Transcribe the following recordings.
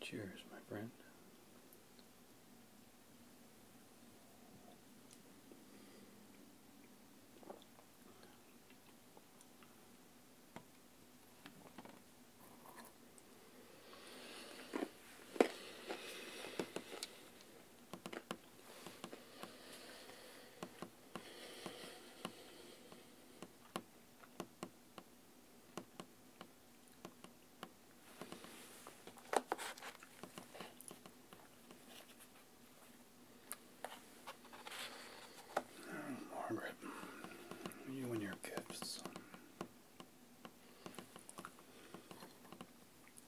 Cheers, my friend. Margaret, you and your gifts.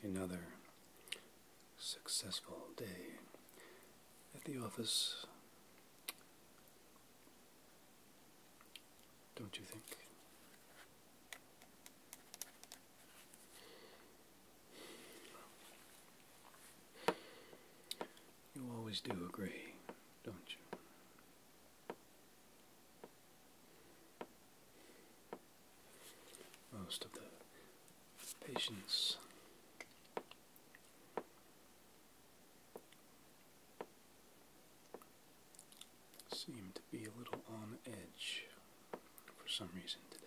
Another successful day at the office. Don't you think? You always do agree, don't you? Most of the patients seem to be a little on edge for some reason today.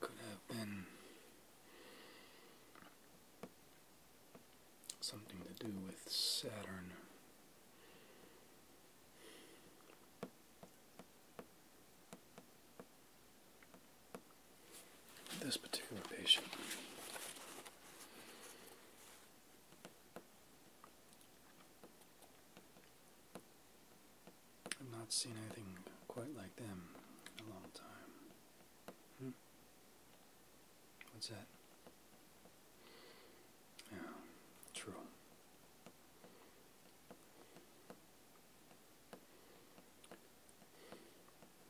Could have been something to do with Saturn. This particular patient I've not seen anything quite like them in a long time. Hmm? What's that? Yeah, true.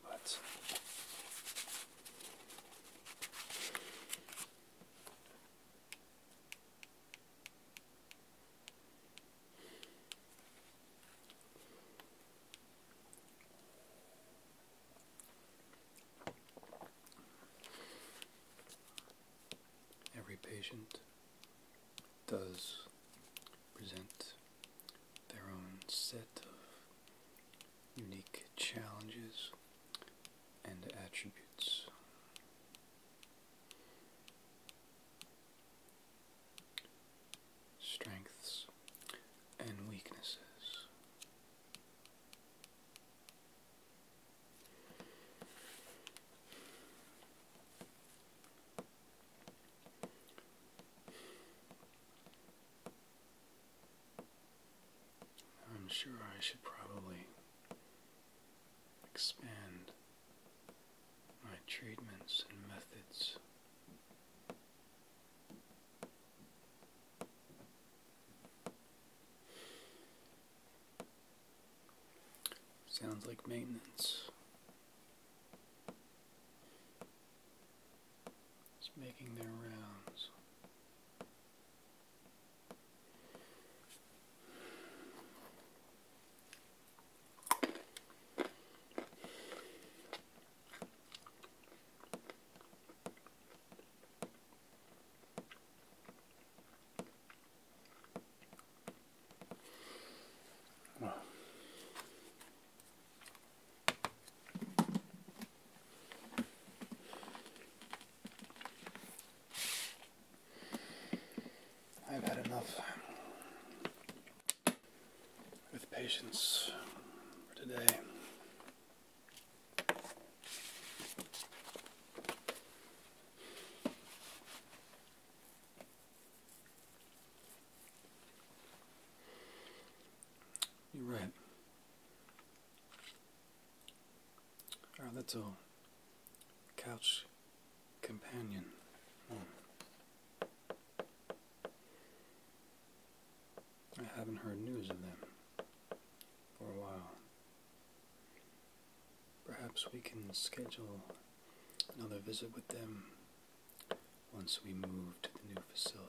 But every patient does present their own set of unique challenges and attributes. Strengths and weaknesses. I'm sure I should probably expand my treatments and methods. Sounds like maintenance. It's making their rounds. I've had enough with patience for today. You're right. Our ah, little couch companion. Hmm. I haven't heard news of them for a while. Perhaps we can schedule another visit with them once we move to the new facility.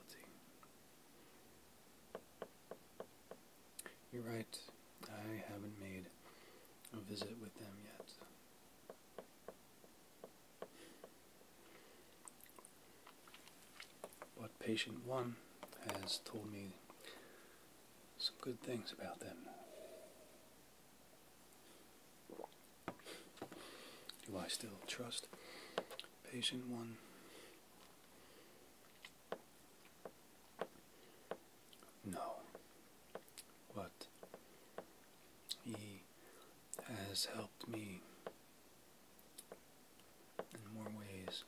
You're right, I haven't made a visit with them yet. But patient one has told me some good things about them. Do I still trust patient one? No. But he has helped me in more ways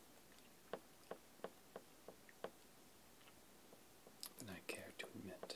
than I care to admit.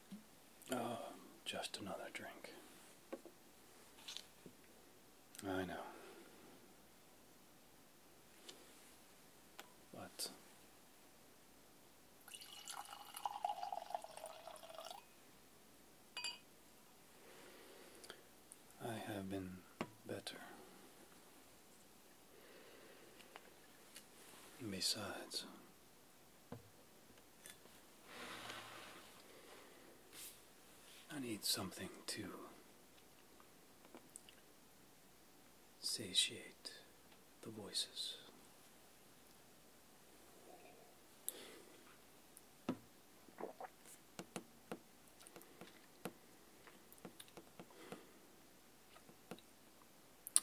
Oh, just another drink. I know. But I have been better. Besides, I need something to satiate the voices.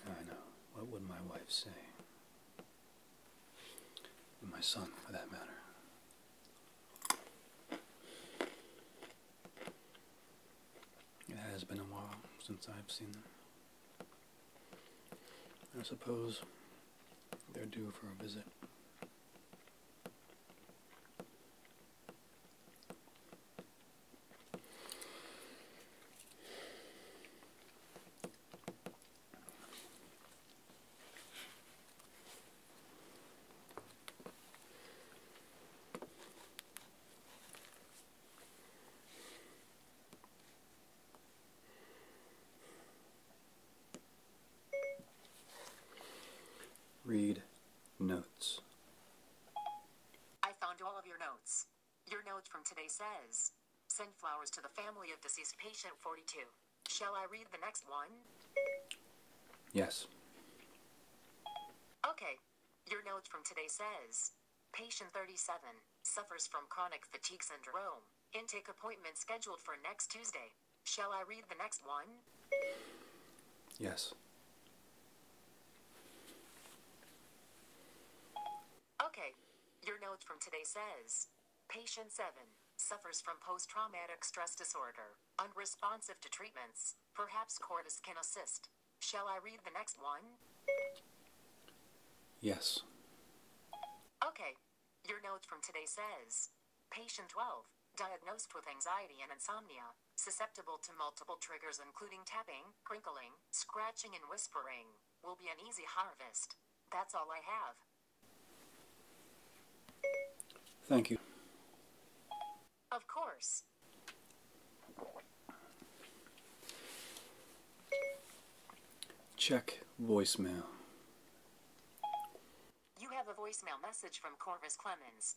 I know. What would my wife say? and my son, for that matter. It has been a while since I've seen them. I suppose they're due for a visit. Read notes. I found all of your notes. Your note from today says, send flowers to the family of deceased patient 42. Shall I read the next one? Yes. Okay. Your note from today says, patient 37 suffers from chronic fatigue syndrome. Intake appointment scheduled for next Tuesday. Shall I read the next one? Yes. Okay. Your note from today says Patient 7 suffers from post traumatic stress disorder, unresponsive to treatments. Perhaps Cordis can assist. Shall I read the next one? Yes. Okay. Your note from today says Patient 12, diagnosed with anxiety and insomnia, susceptible to multiple triggers including tapping, crinkling, scratching, and whispering, will be an easy harvest. That's all I have. Thank you. Of course. Check voicemail. You have a voicemail message from Corvus Clemens.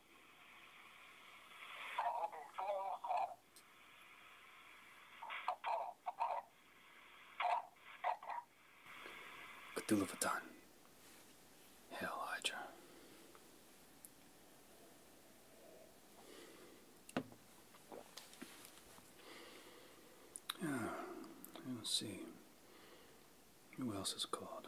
Cthulhu Vatan. Hail Hydra. Yeah, let's see. Who else is called?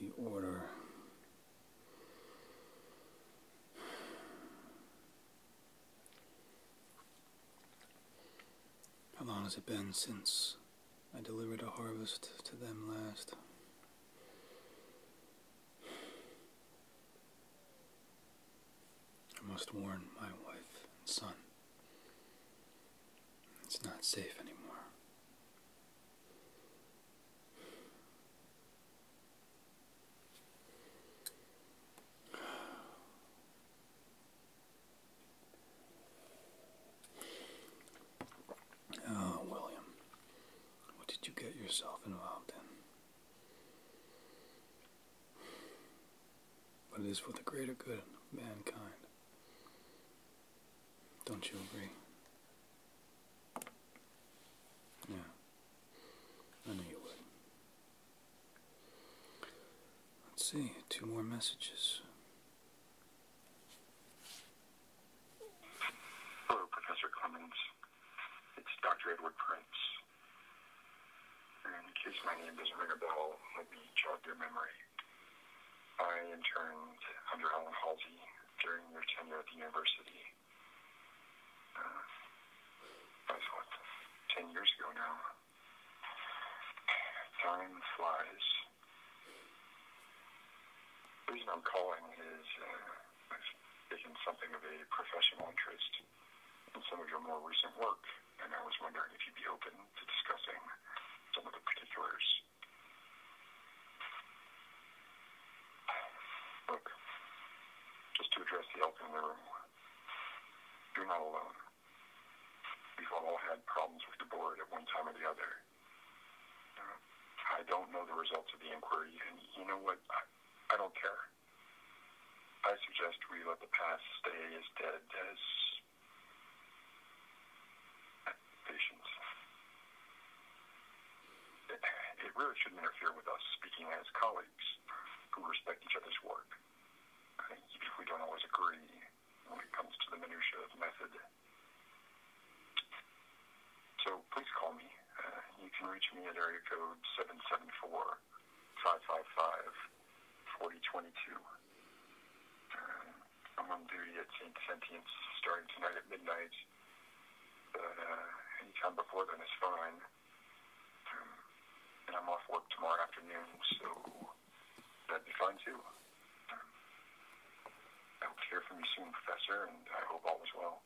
the order. How long has it been since I delivered a harvest to them last? I must warn my wife and son. It's not safe anymore. Oh, William, what did you get yourself involved in? But it is for the greater good of mankind. Don't you agree? Yeah, I knew you would. Let's see, two more messages. Hello, Professor Clemens. It's Dr. Edward Prince. In case my name doesn't ring a bell, let me jog your memory. I interned under Alan Halsey during your tenure at the university. Uh, I 10 years ago now. Time flies. reason I'm calling is. Uh, taken something of a professional interest in some of your more recent work, and I was wondering if you'd be open to discussing some of the particulars. Look, just to address the elephant in the room, you not alone. We've all had problems with the board at one time or the other. I don't know the results of the inquiry. And you know what? I, I don't care. I suggest we let the past stay as dead as patients. It, it really shouldn't interfere with us speaking as colleagues who respect each other's work. I think we don't always agree when it comes to the minutiae of method so please call me. Uh, you can reach me at area code 774 555 4022. Uh, I'm on duty at St. Sentience starting tonight at midnight. But uh, anytime before then is fine. Um, and I'm off work tomorrow afternoon, so that'd be fine too. Um, I hope to hear from you soon, Professor, and I hope all is well.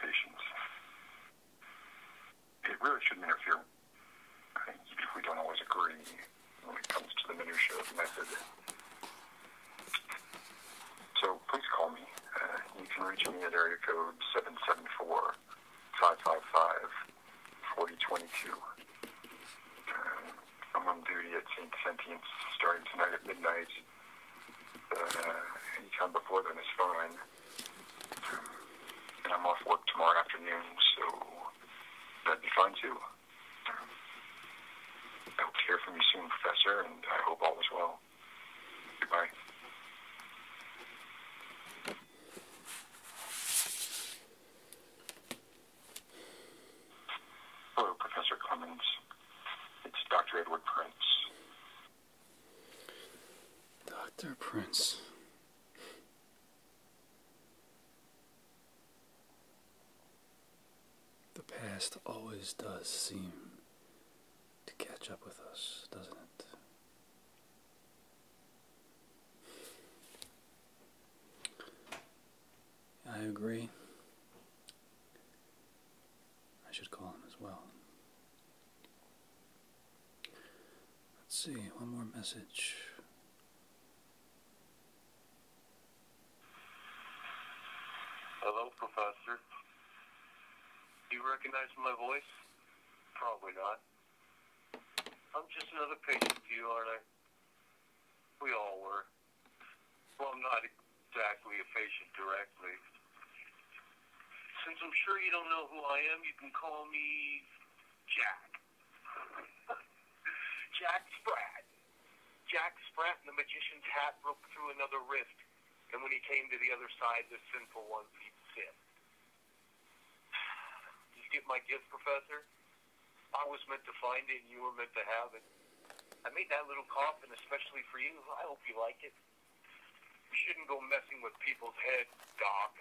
patients. It really shouldn't interfere. I think we don't always agree when it comes to the minutiae of method. So please call me. Uh, you can reach me at area code 774 555 4022. Uh, I'm on duty at St. Sentience starting tonight at midnight. Uh, he come before them is fine. and I'm off work tomorrow afternoon, so that'd be fine too. I hope to hear from you soon, Professor, and I hope all is well. Goodbye. Hello, Professor Clemens. It's Dr. Edward Prince. Dr. Prince. The past always does seem to catch up with us, doesn't it? I agree. I should call him as well. Let's see, one more message. Hello, Professor. you recognize my voice? Probably not. I'm just another patient to you, aren't I? We all were. Well, I'm not exactly a patient directly. Since I'm sure you don't know who I am, you can call me Jack. Jack Sprat. Jack Sprat and the magician's hat broke through another rift, and when he came to the other side, the sinful ones he sipped. You get my gift, Professor? I was meant to find it, and you were meant to have it. I made that little coffin especially for you. I hope you like it. You shouldn't go messing with people's heads, Doc.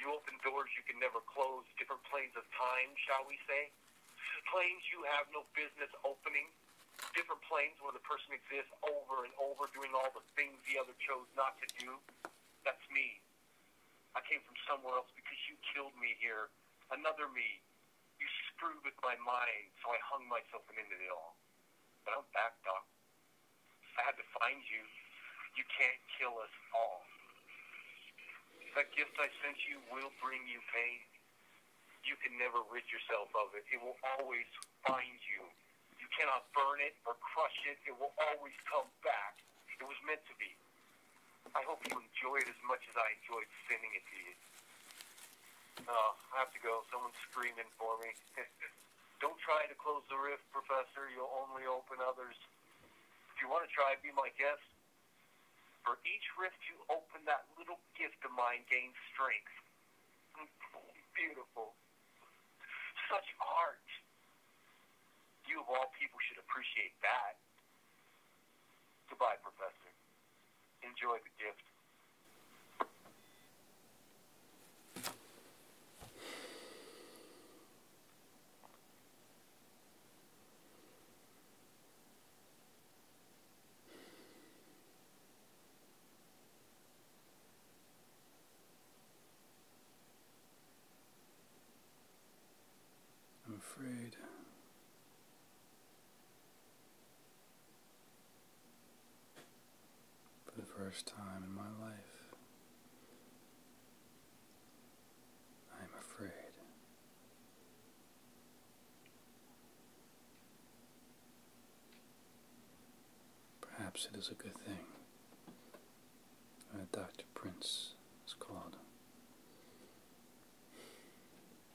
You open doors you can never close, different planes of time, shall we say? Planes you have no business opening, different planes where the person exists over and over doing all the things the other chose not to do. That's me. I came from somewhere else because you killed me here. Another me. You screwed with my mind, so I hung myself and ended it all down. Don't back Doc. I had to find you. You can't kill us all. That gift I sent you will bring you pain. You can never rid yourself of it. It will always find you. You cannot burn it or crush it. It will always come back. It was meant to be. I hope you enjoy it as much as I enjoyed sending it to you. Oh, I have to go. Someone's screaming for me. Don't try to close the rift, Professor. You'll only open others. If you want to try, be my guest. For each rift you open, that little gift of mine gains strength. Beautiful. Such art. You of all people should appreciate that. Goodbye, Professor enjoy the gift. I'm afraid for the first time in my life, I am afraid. Perhaps it is a good thing that Dr. Prince is called.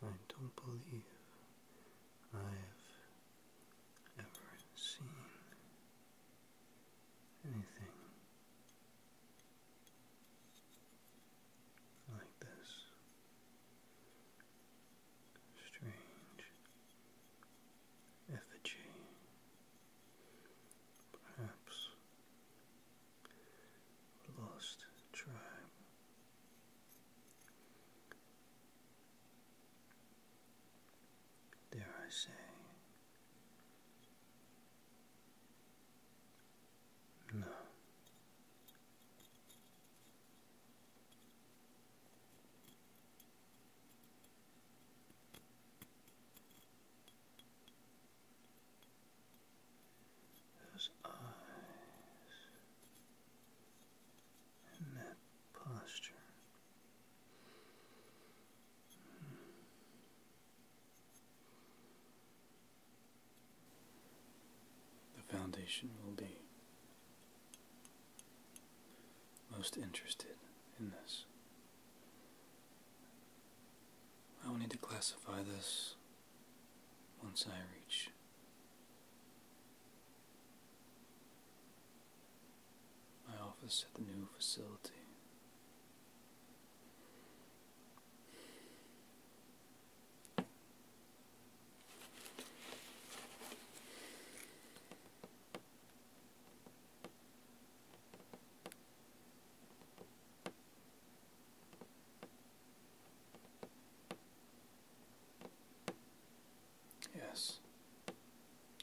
I don't believe I've ever seen anything like this strange effigy, perhaps lost tribe. Dare I say, no. Those eyes and that posture. The foundation will be most interested in this. I will need to classify this once I reach my office at the new facility. Yes,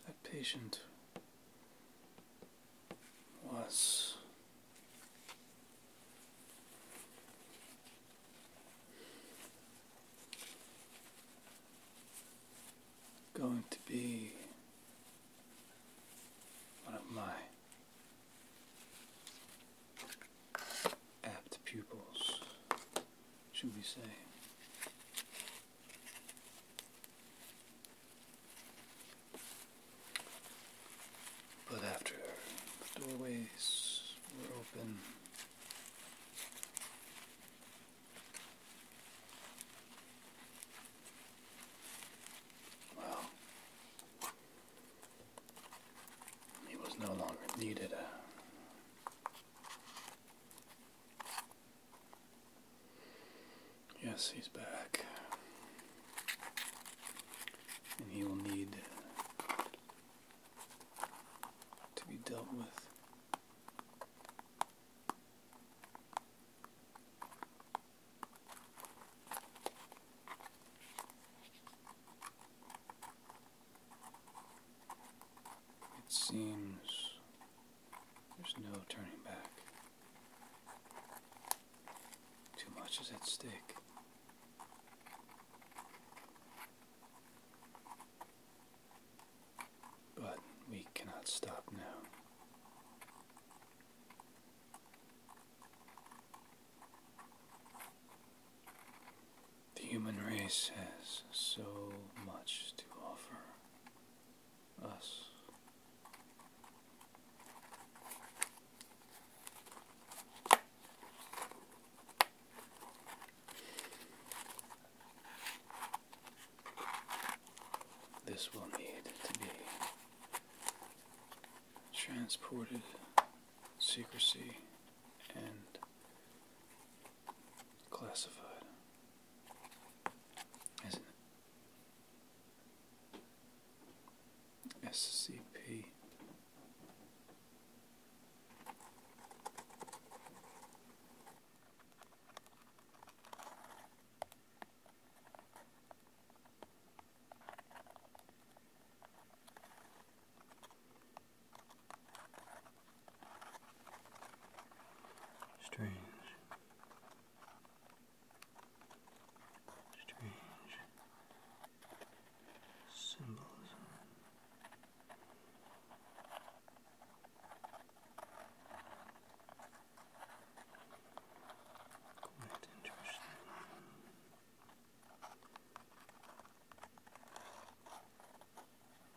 that patient was going to be one of my apt pupils, should we say. But after the doorways were open, he was no longer needed. Uh, yes, he's back. And he will need to be dealt with it seems there's no turning back. Too much is at stake. But we cannot stop now. The human race has so much to offer us. This will need to be transported, secrecy, and classified, SCP. Strange. Strange symbolism. Quite interesting.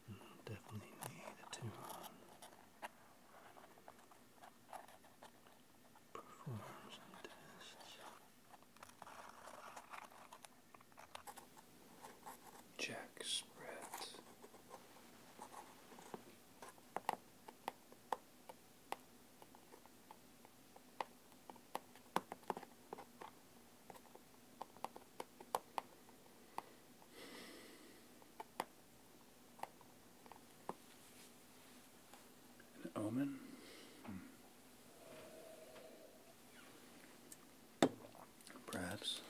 I'll definitely need a tune perform some tests jack spread. An omen? Hmm. Perhaps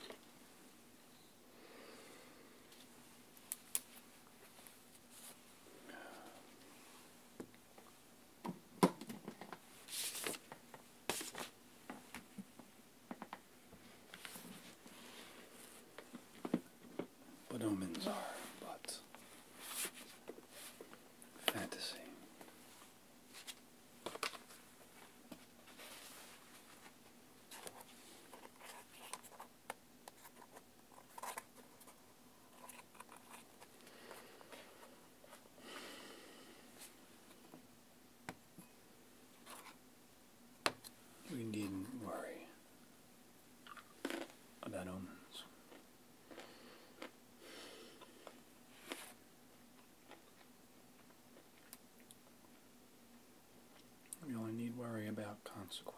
but omens are but fantasy. We needn't worry about omens. We only need worry about consequence.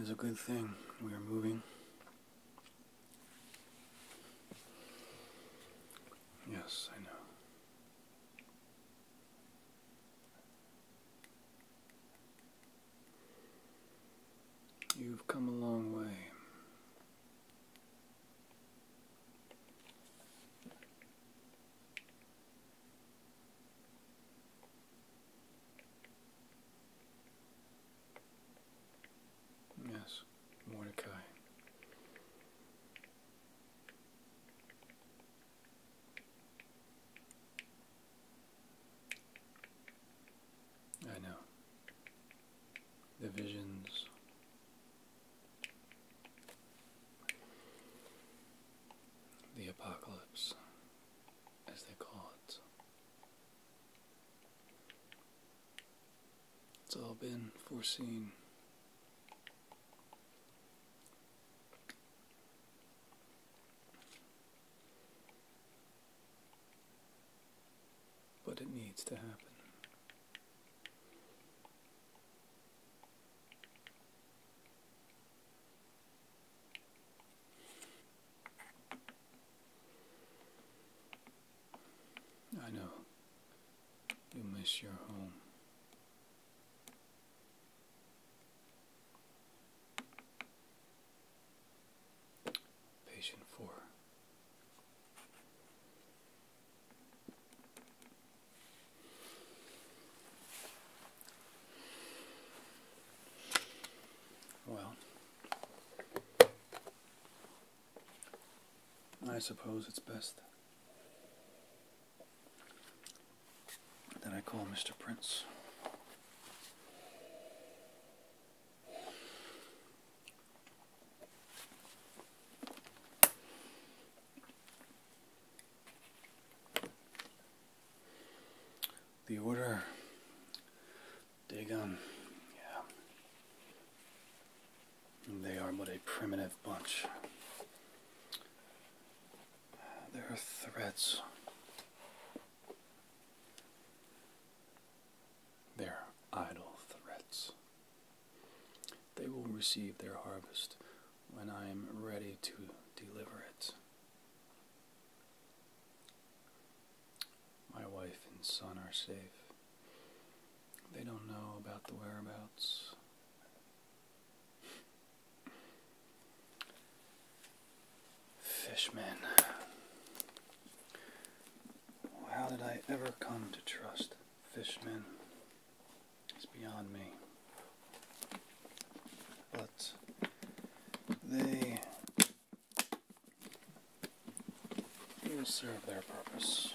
It's a good thing we are moving. Yes, I know. You've come a long way. Yes, Mordecai. I know. The visions. The apocalypse, as they call it. It's all been foreseen. But it needs to happen. I know you miss your home. Patient four. Well, I suppose it's best then I call Mr. Prince. The order, Dagon, yeah. They are but a primitive bunch. There are threads. They're idle threats. They will receive their harvest when I am ready to deliver it. My wife and son are safe. They don't know about the whereabouts. Fishmen. How did I ever come to trust fishmen? It's beyond me. But they will serve their purpose.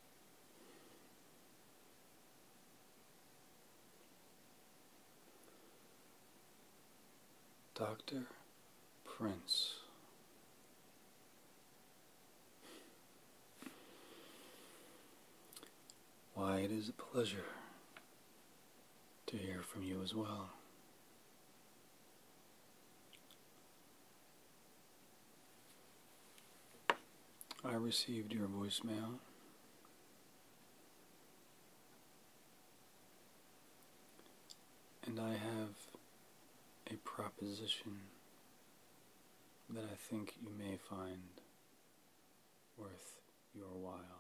Dr. Prince. Why, it is a pleasure to hear from you as well. I received your voicemail. And I have a proposition that I think you may find worth your while.